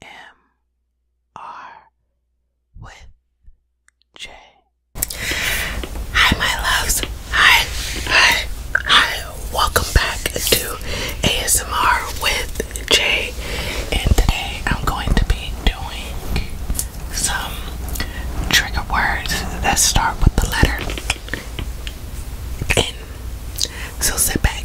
M.R. with J. Hi, my loves. Hi, hi, hi. Welcome back to ASMR with J. And today I'm going to be doing some trigger words that start with the letter N. So sit back,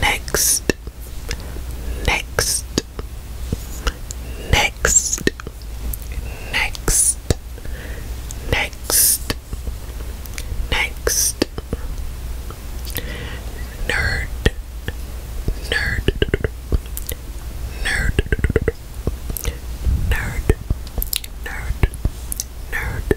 next, next, next, next, next, next, nerd, nerd, nerd, nerd, nerd, nerd,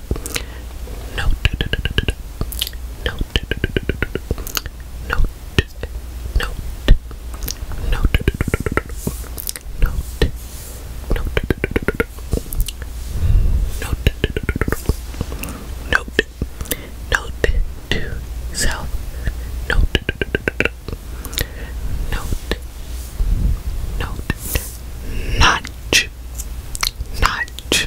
Note. Note. Note. Note. Note. Note. Note. Note. Note to self. Note. Note. Note. Nudge. Nudge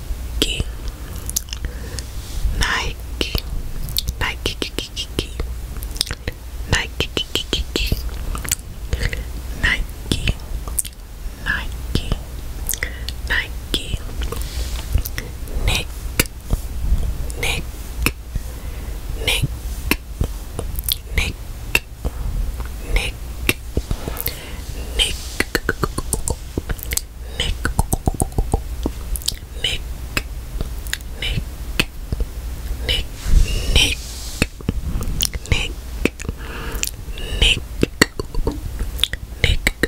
Nike, Nike, Nike, Nike, Nike, Nike, Nike, Nike, Nike, Nick, Nick, Nick, Nick, Nick, Nick, Nick, Nick, Nick, Nick, Nick, Nick, Nick, Nick,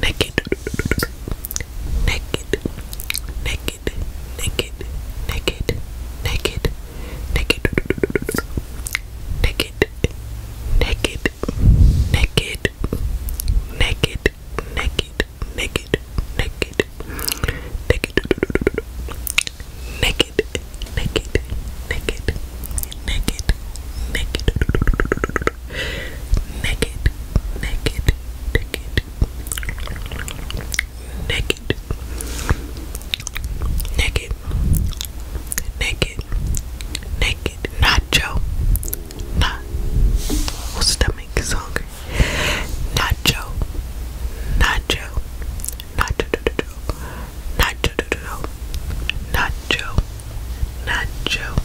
naked, naked, naked, naked, naked, naked, naked, naked, naked, naked, naked, naked, naked, naked, naked. Naked, naked, naked, naked, naked, naked, naked, naked, naked, naked, naked, naked, nacho, not well, stomach is hungry, nacho, nacho, nacho, nacho, nacho, nacho, nacho, nacho,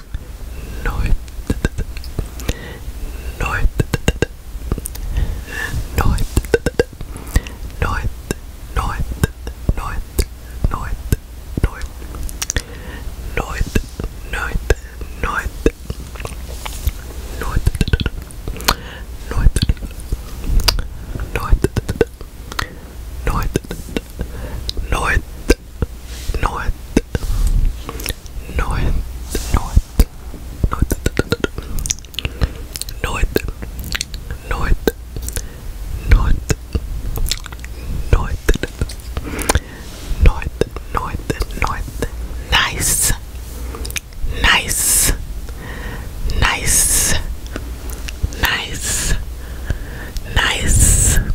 no, no, no, no, no, no, no, no, Ninth, ninth, ninth, ninth, ninth, ninth, ninth, ninth, ninth, north, north, north, north, north, north, north, north, north, north, nice, nice, nice, nice, nice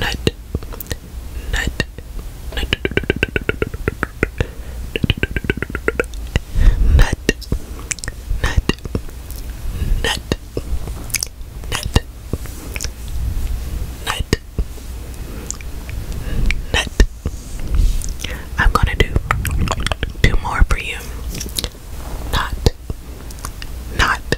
nut, nut, nut, nut, nut, nut, nut, nut, nut. I'm gonna do two more for you. Not, not,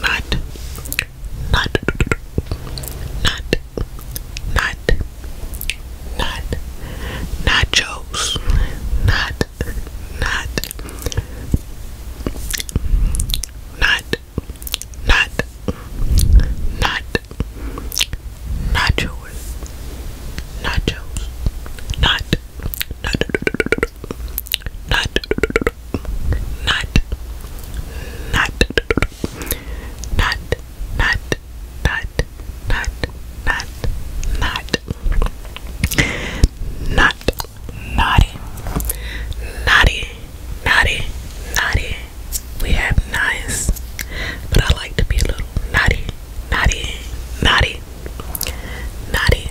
not, not, not, not, not, nachos, not, not, not, not, not, nachos, nachos, not, not, not, not nut, nut, nut, nut, nut, nut, nut, nut, nut, naughty, naughty, naughty, naughty. We have nice, but I like to be a little naughty, naughty, naughty, naughty, naughty,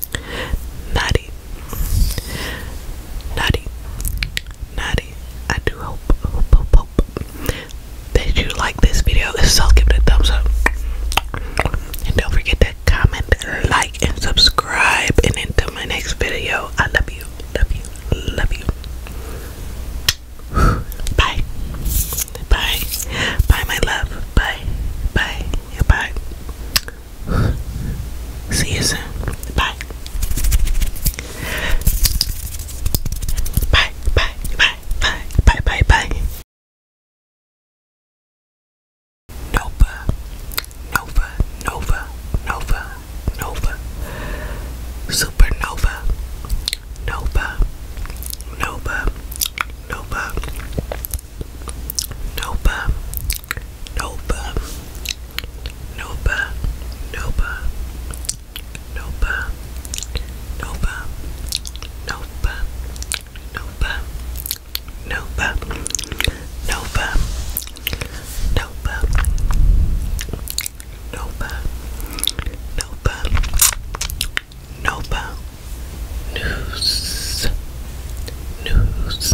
Nutty. Nutty. Nutty. I do hope, that you like this video. so, give it a thumbs up. And don't forget to comment, like, and subscribe. And until my next video, I love you, love you, love you. Bye. Bye. Bye, my love. Bye. Bye. Bye. See you soon. Bye. Bye, bye, bye, bye, bye, bye, Nova, Nova, Nova, Nova, Nova, Supernova, Nova, Nova, Nova, Nopa, Nopa, Nopa, Nopa, Nopa, Nopa, Nopa, Nopa, Nopa, Nopa, Nopa, Nopa, Nopa, Nopa, News, News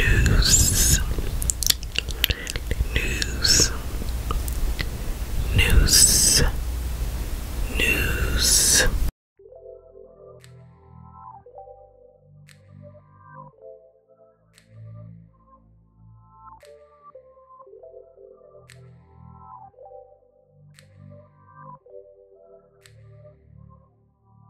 news, news, news, news.